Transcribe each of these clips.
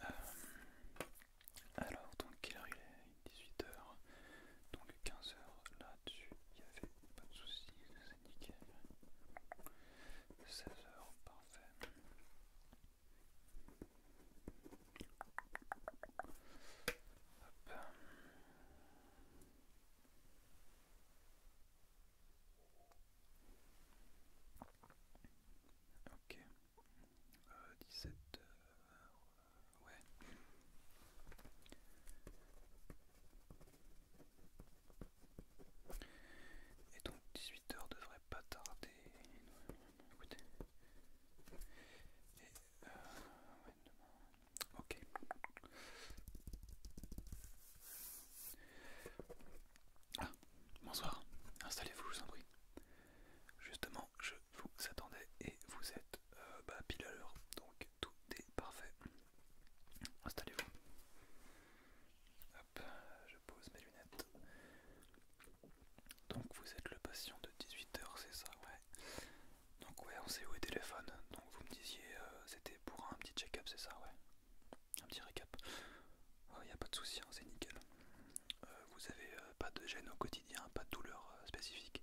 Euh, alors, donc, quelle heure il est 18h, donc 15h là-dessus, il n'y avait pas de soucis, c'est nickel. 16h, parfait. Ok. Euh, 17 h euh, Ouais. Et donc 18 h devrait pas tarder. Écoutez. Ah, bonsoir. Installez-vous, je vous en Justement, je vous attendais et vous êtes euh, bah, pile à l'heure, donc tout est parfait. Installez-vous. Hop, je pose mes lunettes. Donc vous êtes le patient de 18h, c'est ça, ouais. Donc ouais, on où est le téléphone. Donc vous me disiez, euh, c'était pour un petit check-up, c'est ça, ouais. Un petit récap. Il oh, y a pas de souci, hein, c'est nickel. Euh, vous avez euh, pas de gêne au quotidien, pas de douleur spécifique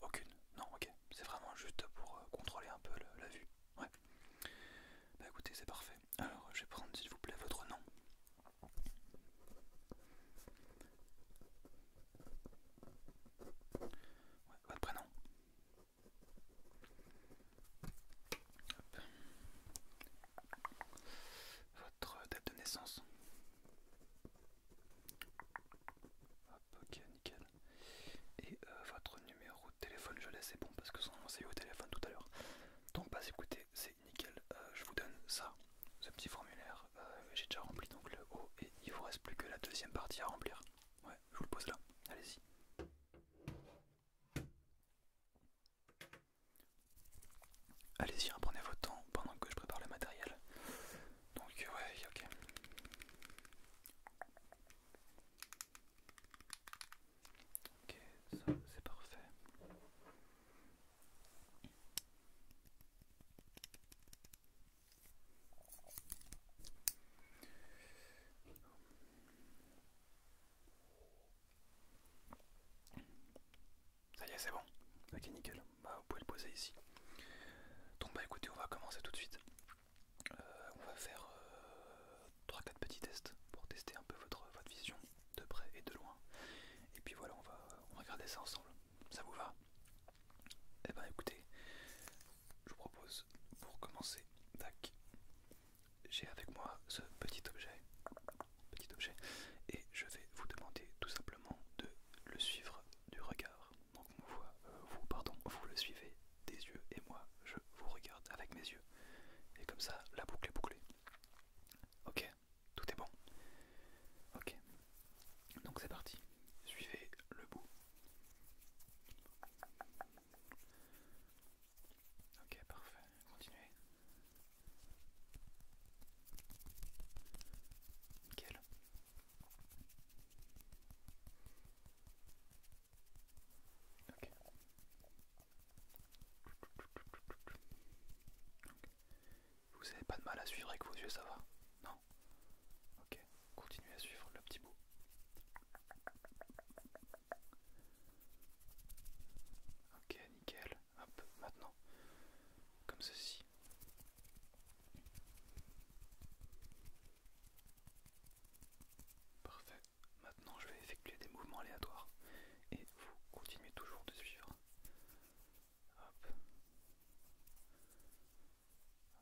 Aucune Non, ok. C'est vraiment juste pour contrôler un peu la vue. Ouais. Bah écoutez, c'est parfait. Alors, je vais prendre s'il vous plaît votre nom votre prénom. Votre date de naissance. ok, nickel. Et euh, votre numéro de téléphone, je laisse, c'est bon parce que sinon on eu au téléphone tout à l'heure. Donc, bah écoutez, c'est nickel. Euh, je vous donne ça, ce petit formulaire. Euh, j'ai déjà rempli donc le haut et il ne vous reste plus que la deuxième partie à remplir. Ouais, je vous le pose là. Allez-y. Allez-y, reprenez votre temps pendant que je prépare le matériel. Donc euh, ouais, ok. Ok, ça c'est parfait. Ça y est, c'est bon. Ok, nickel. Bah, vous pouvez le poser ici. Donc, bah écoutez, on va commencer tout de suite. Euh, on va faire 3-4 euh, petits tests pour tester un peu votre, votre vision de près et de loin. Et puis voilà, on va, regarder ça ensemble. Ça vous va Eh ben écoutez, je vous propose pour commencer, j'ai avec moi ce petit objet, petit objet, et je vais vous demander tout simplement de le suivre du regard. Donc on voit, euh, vous, pardon, vous le suivez des yeux et moi je vous regarde avec mes yeux. Et comme ça, la boucle est bouclée. Ok, tout est bon. Ok, donc c'est parti. Suivez le bout. Ok, parfait. Continuez. Ok. Vous avez pas de mal à suivre avec vos yeux, ça va Non Ok, continuez à suivre le petit bout. Ok, nickel. Hop, maintenant, comme ceci. Parfait. Maintenant, je vais effectuer des mouvements aléatoires et vous continuez toujours de suivre. Hop.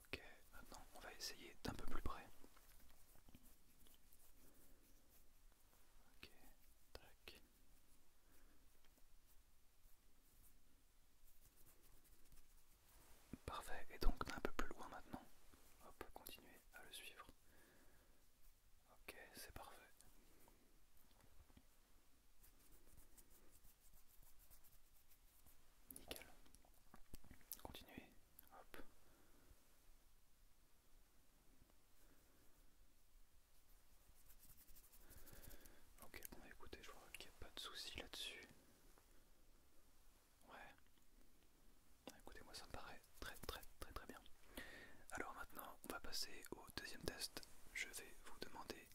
Ok, maintenant on va essayer d'un peu plus près. Ok, tac. Parfait, et donc d'un peu plus loin maintenant. Hop, continuez à le suivre. Ok, c'est parfait. Nickel. Continuez. Hop. Ok, écoutez, je vois qu'il n'y a pas de souci là-dessus. Ouais. Ah, Écoutez, moi ça me paraît très très très très bien. Alors maintenant, on va passer au deuxième test. Je vais vous demander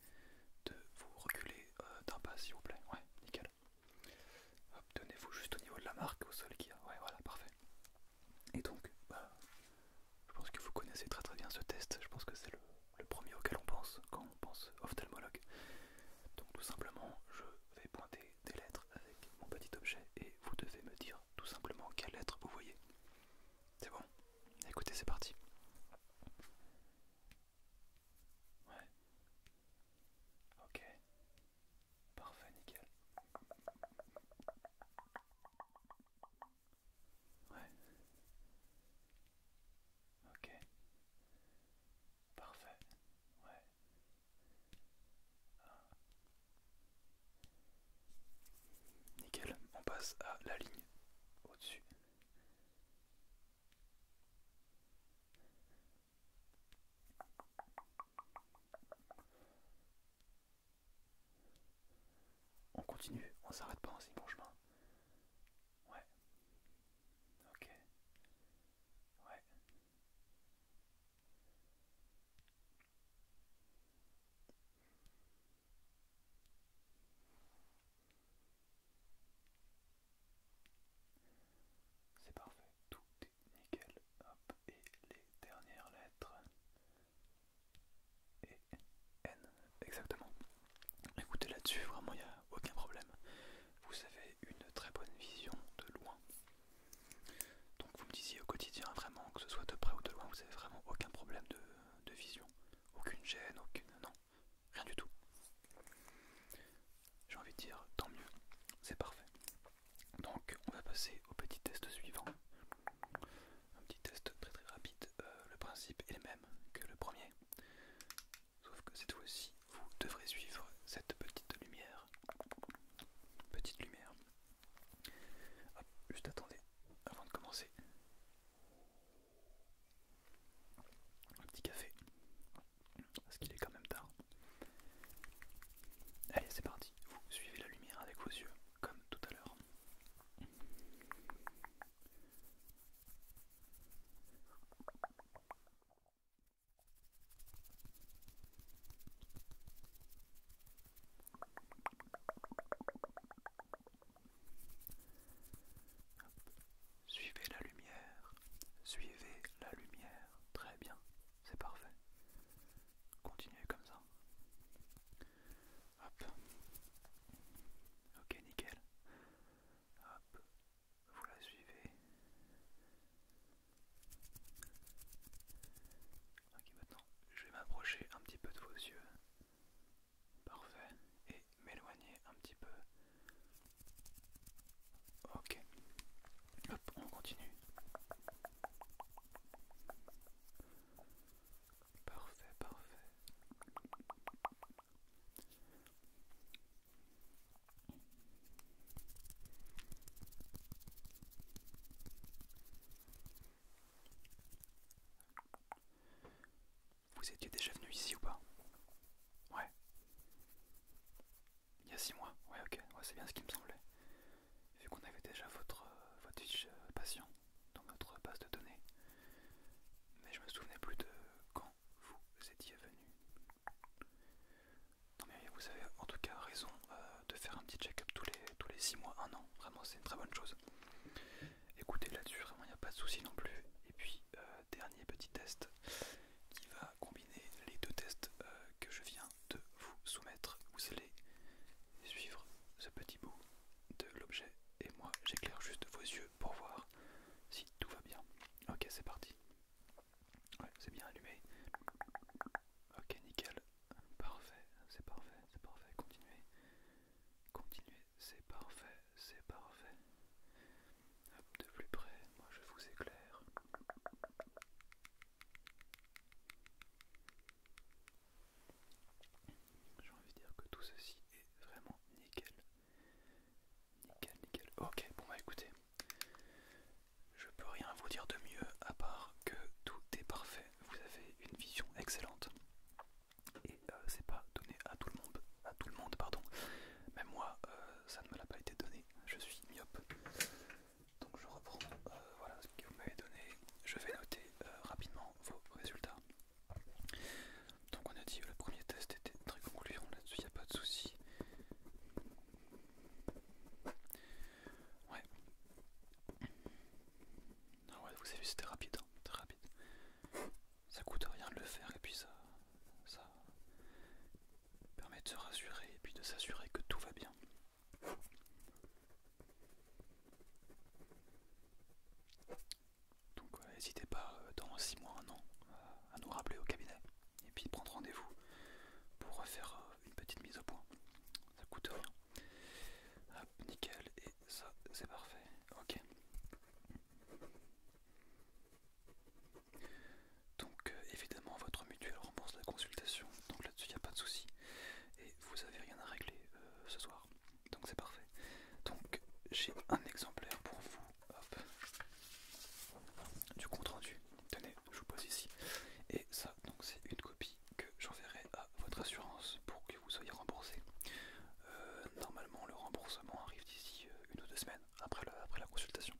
de vous reculer euh, d'un pas, s'il vous plaît. Ouais, nickel. Hop, tenez-vous juste au niveau de la marque, au sol qui y a. Ouais, voilà, parfait. Et donc, bah, je pense que vous connaissez très très bien ce test. Je pense que c'est le, le premier auquel on pense quand on pense euh, ophtalmologue. Donc tout simplement, je vais pointer des lettres avec mon petit objet et vous devez me dire tout simplement quelle lettre vous voyez. C'est bon Écoutez, c'est parti. Ouais. Ok. Parfait, nickel. Ouais. Ok. Parfait. Ouais. Nickel, on passe à la ligne au-dessus. On continue, on s'arrête pas, en signe bon chemin. Ok. Ouais. C'est parfait, tout est nickel. Hop, et les dernières lettres. Et N, exactement. Écoutez, là-dessus, vraiment, il n'y a aucun problème vous avez une très bonne vision de loin. Donc vous me disiez au quotidien vraiment que ce soit de près ou de loin, vous avez vraiment aucun problème de, vision, aucune gêne, aucune... non, rien du tout. J'ai envie de dire tant mieux, c'est parfait. Donc on va passer au petit test suivant. Un petit test très très rapide, euh, le principe est le même que le premier. Sauf que cette fois-ci, vous devrez suivre cette petite lumière. Petite lumière. juste attendez avant de commencer. Un petit café. Parce qu'il est quand même tard. Allez, c'est parti. Vous suivez la lumière avec vos yeux, comme tout à l'heure. Suivez la lumière, suivez la lumière, très bien, c'est parfait. Continuez comme ça. Hop. Ok, nickel. Hop, vous la suivez. Ok, maintenant, je vais m'approcher un petit peu de vos yeux. Parfait. Et m'éloigner un petit peu. Ok. Hop, on continue. Parfait, parfait. Vous étiez déjà venu ici ou pas Ouais. Il y a 6 mois. Ouais, ok. Ouais, c'est bien ce qui me semblait. Vu qu'on avait déjà votre, euh, votre euh, patient dans notre base de données, mais je me souvenais plus de quand vous étiez venu. Non mais vous avez en tout cas raison euh, de faire un petit check-up tous les, tous les 6 mois, un an, vraiment c'est une très bonne chose. Écoutez là-dessus, vraiment il n'y a pas de souci non plus. Et puis euh, dernier petit test qui va combiner les deux tests euh, que je viens de vous soumettre. Vous les suivre ce petit bout de l'objet et moi j'éclaire juste vos yeux pour voir si tout va bien. Ok c'est parti. c'est bien allumé. Ok nickel. Parfait, c'est parfait, c'est parfait. Continuez. Continuez, c'est parfait, c'est parfait. de plus près, moi je vous éclaire. J'ai envie de dire que tout ceci est vraiment nickel. Nickel, nickel. Ok, bon bah écoutez, je peux rien vous dire de mieux à part que tout est parfait. Vous avez une vision excellente. Et euh, c'est pas donné à tout le monde. À tout le monde, pardon. Même moi, euh, ça ne me l'a pas été donné. Je suis myope. Donc je reprends. Euh, voilà, que vous m'avez donné, Je vais noter euh, rapidement vos résultats. Donc on a dit le premier test était très concluant, là-dessus il n'y a pas de souci. Ah ouais. vous avez vu, c'était rapide, hein, très rapide. Ça coûte rien de le faire et puis ça permet de se rassurer et puis de s'assurer que tout va bien. Donc n'hésitez pas euh, dans 6 mois, 1 an euh, à nous rappeler au cabinet et puis prendre rendez-vous pour faire euh, une petite mise au point. Ça coûte rien. Hop, nickel, et ça c'est parfait. Ok. Donc évidemment votre mutuelle rembourse la consultation, donc là-dessus il n'y a pas de souci et vous avez rien à régler euh, ce soir. Donc c'est parfait. Donc j'ai un exemplaire pour vous du compte rendu. Tenez, je vous pose ici. Et ça, donc c'est une copie que j'enverrai à votre assurance pour que vous soyez remboursé. Euh, normalement, le remboursement arrive d'ici euh, une ou deux semaines après, la consultation.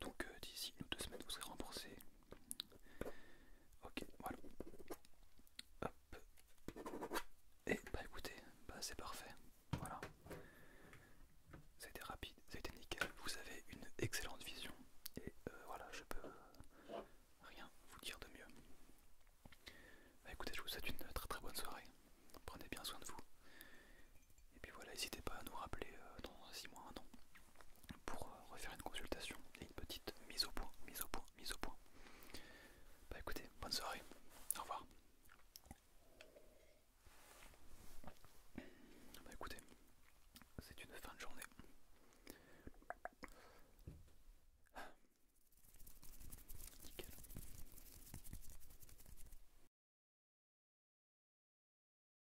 Donc d'ici une ou deux semaines, vous serez remboursé Ok, voilà. Hop. Et eh, bah écoutez, bah c'est parfait. Voilà. C'était rapide, c'était nickel. Vous avez une excellente vision. Et euh, voilà, je peux euh, rien vous dire de mieux. Bah écoutez, je vous souhaite une très très bonne soirée. Prenez bien soin de vous. Et puis voilà, n'hésitez pas à nous rappeler euh, dans 6 mois, un an pour euh, refaire une consultation et une petite mise au point, mise au point, mise au point. Bah écoutez, bonne soirée, au revoir. Bah écoutez, c'est une fin de journée. Nickel.